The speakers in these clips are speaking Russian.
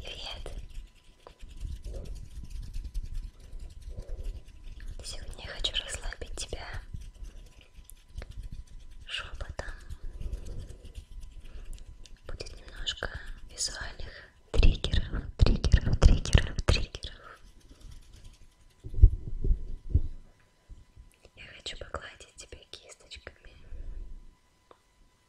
Привет! Сегодня я хочу расслабить тебя шепотом. Будет немножко визуальных триггеров, триггеров, триггеров, триггеров. Я хочу погладить тебя кисточками. Хорошо.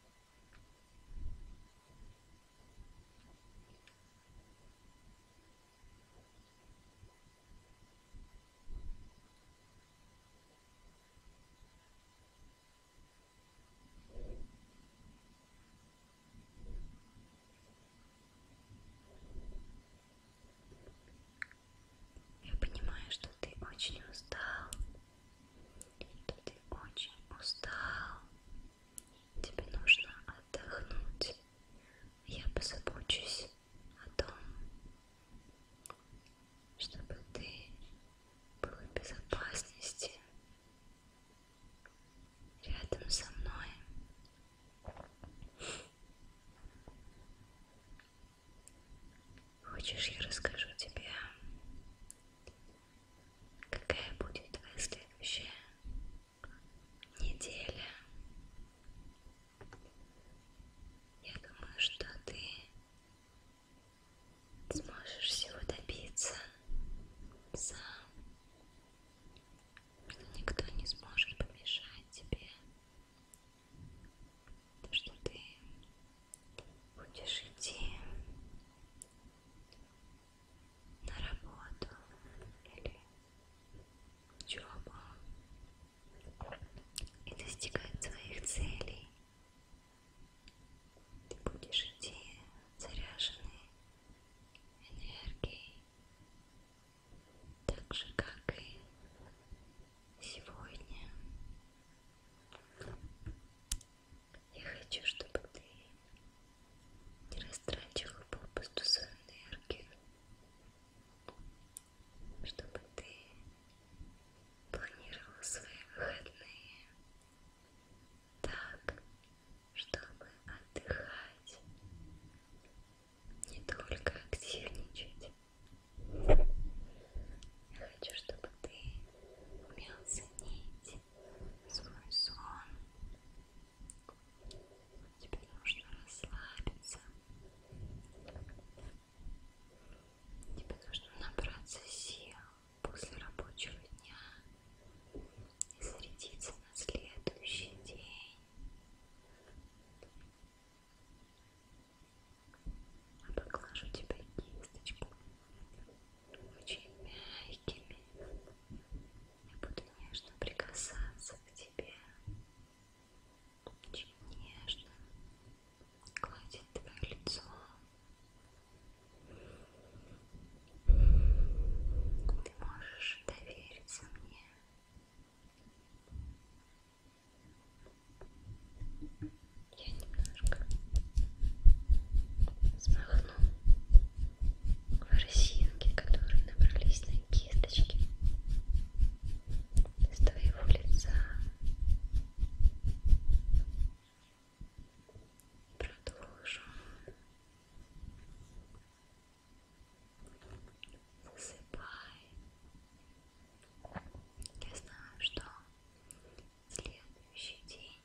Я понимаю, что ты очень устал, что ты очень устал. Тебе нужно отдохнуть. Я позабочусь о том, чтобы ты был в безопасности рядом со мной. Хочешь, я расскажу тебе, какая будет твоя следующая неделя? Я думаю, что ты сможешь всего добиться сам, что никто не сможет помешать тебе то, что ты будешь идти на работу или учебу и достигать своих целей. Ты будешь идти заряженной энергией, так же как и сегодня. Я хочу, чтобы ты не растрачивал попусту свою энергию, чтобы ты планировал свои выходные так, чтобы отдыхать не только активничать. Я хочу, чтобы ты умел ценить свой сон. Тебе нужно расслабиться. Тебе нужно набраться сил после рабочего дня и зарядиться на следующий день. Поглажу а тебя кисточками, очень мягкими. Я буду нежно прикасаться к тебе, очень нежно гладить твое лицо. Ты можешь довериться мне. Я немножко смахну ворсинки, которые набрались на кисточке с твоего лица. Продолжу засыпай. Я знаю, что следующий день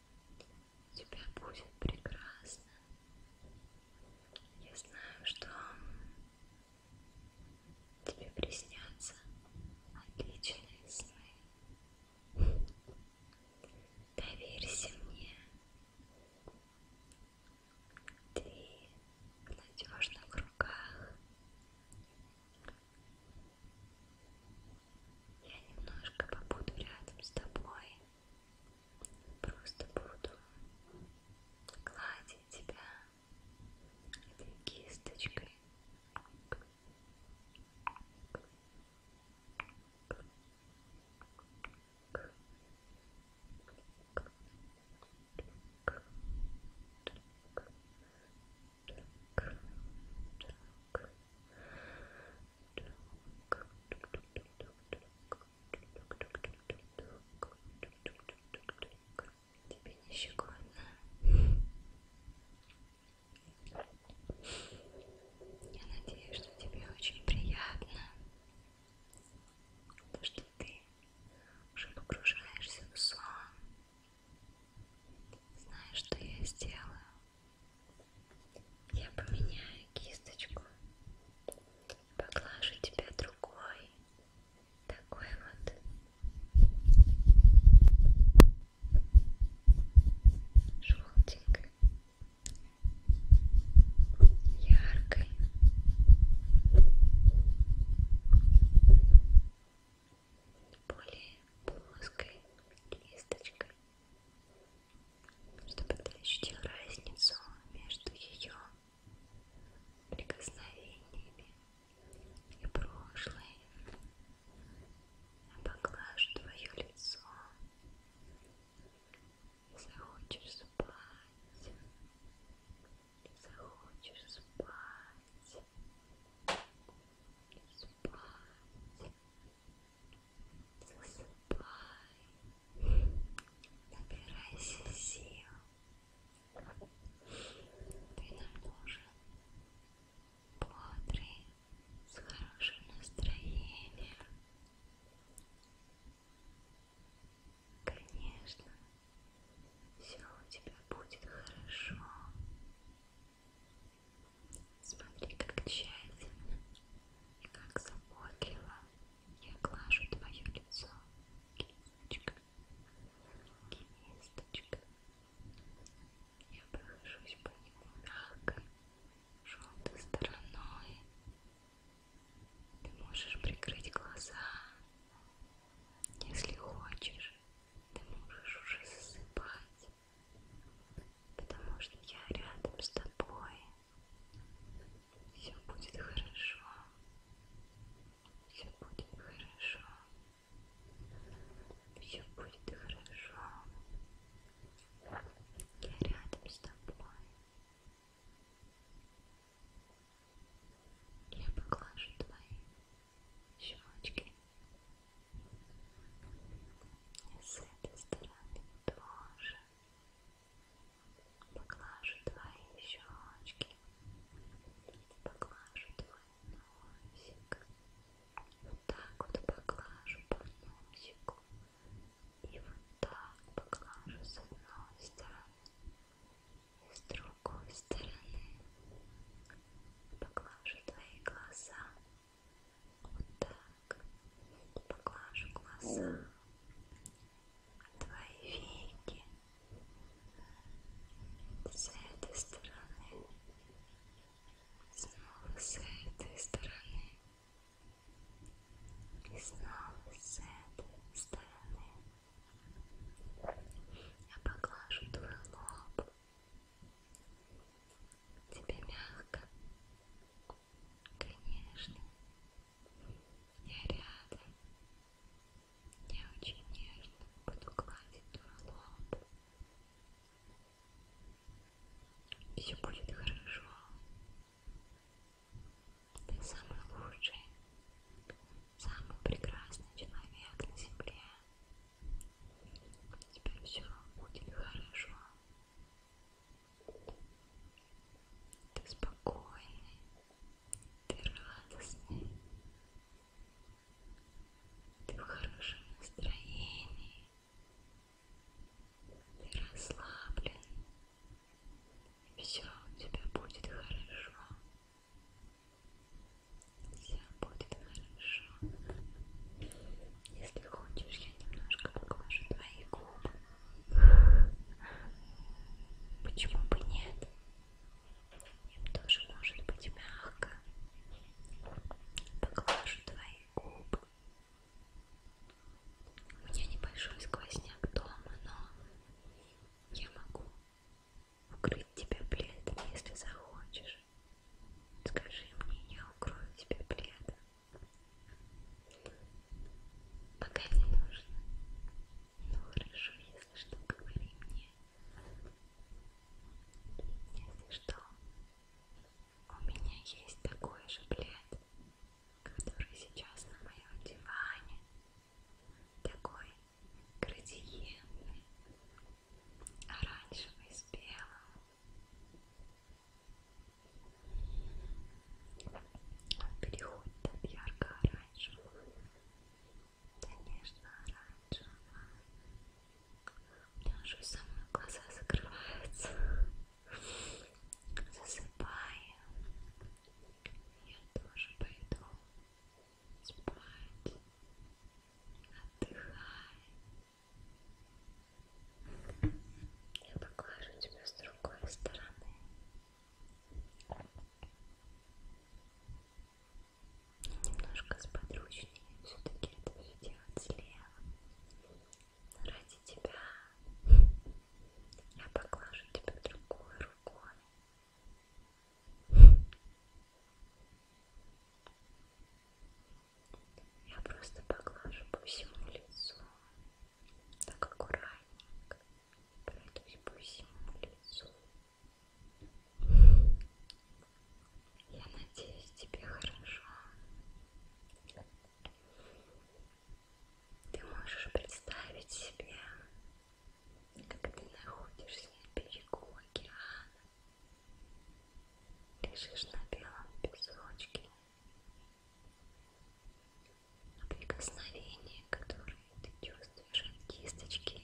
у тебя будет прекрасно. Я знаю, что тебе приснятся отличные сны. Доверься мне ты в надежных руках. Я немножко побуду рядом с тобой, просто буду гладить тебя этой кисточкой. Тебе не щекотно? Я надеюсь, что тебе очень приятно то, что ты уже погружаешься в сон, знаешь, что я сделаю. Я поменяю кисточку, поглажу тебя другой, такой вот. Желтенькой яркой. Более плоской листочкой, чтобы ты ощутил разницу между ее прикосновениями и прошлой. Я поглажу твое лицо, захочешь спать, захочешь спать, спать, засыпай, набирайся сил, ты нам нужен бодрый, с хорошим настроением. Конечно, все у тебя будет хорошо. Смотри, как тщательно и как заботливо я глажу твое лицо. Кисточка, кисточка. Я прохожусь по нему мягкой, желтой стороной. Ты можешь прикрыть глаза, если хочешь, ты можешь уже засыпать, потому что я рядом с тобой. Все будет хорошо. Все будет хорошо. Все будет хорошо. Я рядом с тобой. Я поглажу твои щечки. И с этой стороны тоже. Поглажу твои щечки. Поглажу твой носик. Вот так вот поглажу по носику. И вот так поглажу с одной стороны и с другой стороны. Поглажу твои глаза. Вот так. Поглажу глаза. Твои веки. С этой стороны. Снова с этой стороны. И снова с этой стороны я поглажу твой лоб. Тебе мягко, конечно. Я рядом. Я очень нежно буду гладить твой лоб. Все будет хорошо. Ты самый лучший, самый прекрасный человек на земле. У тебя все будет хорошо. Ты спокойный, ты радостный, ты в хорошем настроении. Ты расслаблен. Все у тебя будет хорошо. Все будет хорошо. Если хочешь, я немножко поглажу твои губы. Почему бы нет? Им тоже может быть мягко. Поглажу твои губы. У меня небольшой сквозняк дома, но я могу укрыть тебя пледом, если захочешь. Скажи мне, я укрою тебя пледом. Пока не нужно. Ну хорошо, если что, говори мне. Если что, у меня есть такой же плед, который сейчас на моем диване. Такой градиентный, оранжевый с белым. Он переходит от ярко-оранжевого до нежно-оранжевого меня уже самые глаза закрываются. Засыпаю. Я тоже пойду спать. Отдыхай. Я покажу тебя с другой стороны. Немножко сподручнее все-таки это все делать слева. Ради тебя я поглажу тебя другой рукой. Я просто поглажу по всему лицу. Так аккуратненько. Пройдусь по всему лицу. Я надеюсь, тебе хорошо. Ты можешь представить себе, как ты находишься на берегу океана, лежишь на белом песочке. Прикосновение, которое ты чувствуешь от кисточки,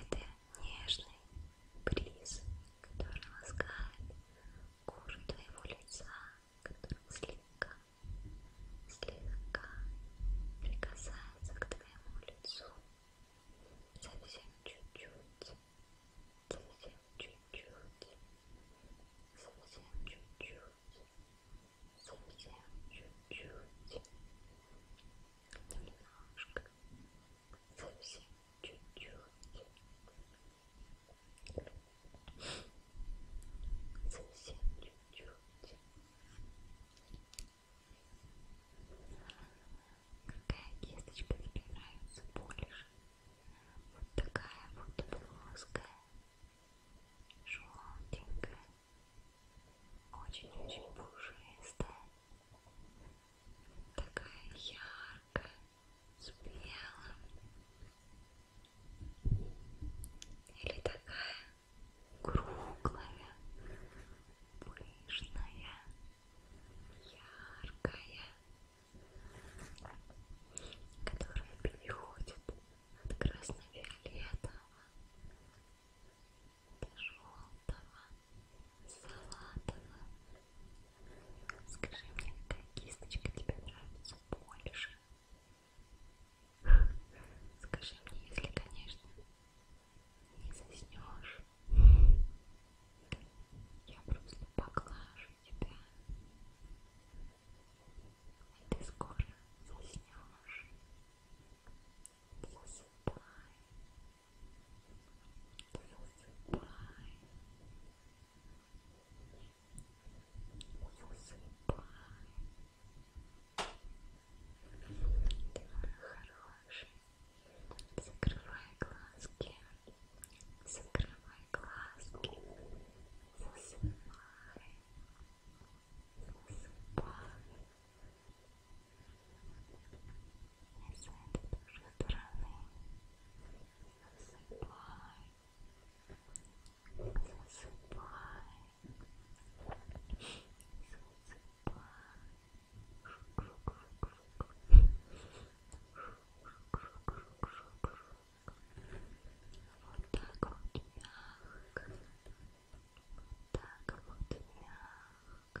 это нежный бриз, который ласкает кожу твоего лица, который слегка, слегка прикасается к твоему лицу совсем чуть-чуть, совсем чуть-чуть, совсем чуть-чуть, совсем чуть-чуть, немножко, совсем чуть-чуть, совсем чуть-чуть. Какая кисточка тебе нравится больше? Вот такая вот плоская, желтенькая, очень-очень пушистая такая яркая, с белым, или такая круглая, пышная, яркая, которая переходит от красно-виолетового желтого, салатового. Скажи мне, какая кисточка тебе нравится больше? Скажи мне, если, конечно, не заснешь. Я просто поглажу тебя. И ты скоро заснешь. Засыпай. Высыпай. Высыпай. Ты мой хороший. Закрывай глазки. Закрывай глазки. Засыпай. Засыпай. Засыпай. И с этой тоже стороны засыпай, засыпай, засыпай. Вот так вот мягко, вот так вот мягко,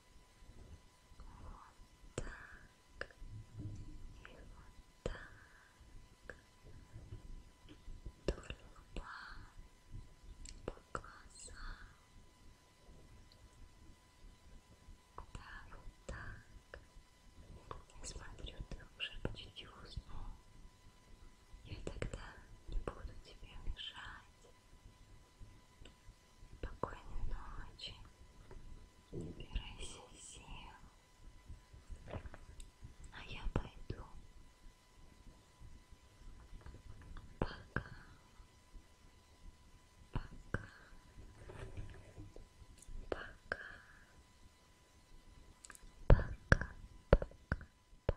Вот так. И вот так. Вдоль лба, по глазам. Да, вот так. Я смотрю, ты уже почти уснул. Я тогда не буду тебе мешать. Спокойной ночи. Набирайся сил. А я пойду. Пока. Пока. Пока. Пока. Пока. Пока.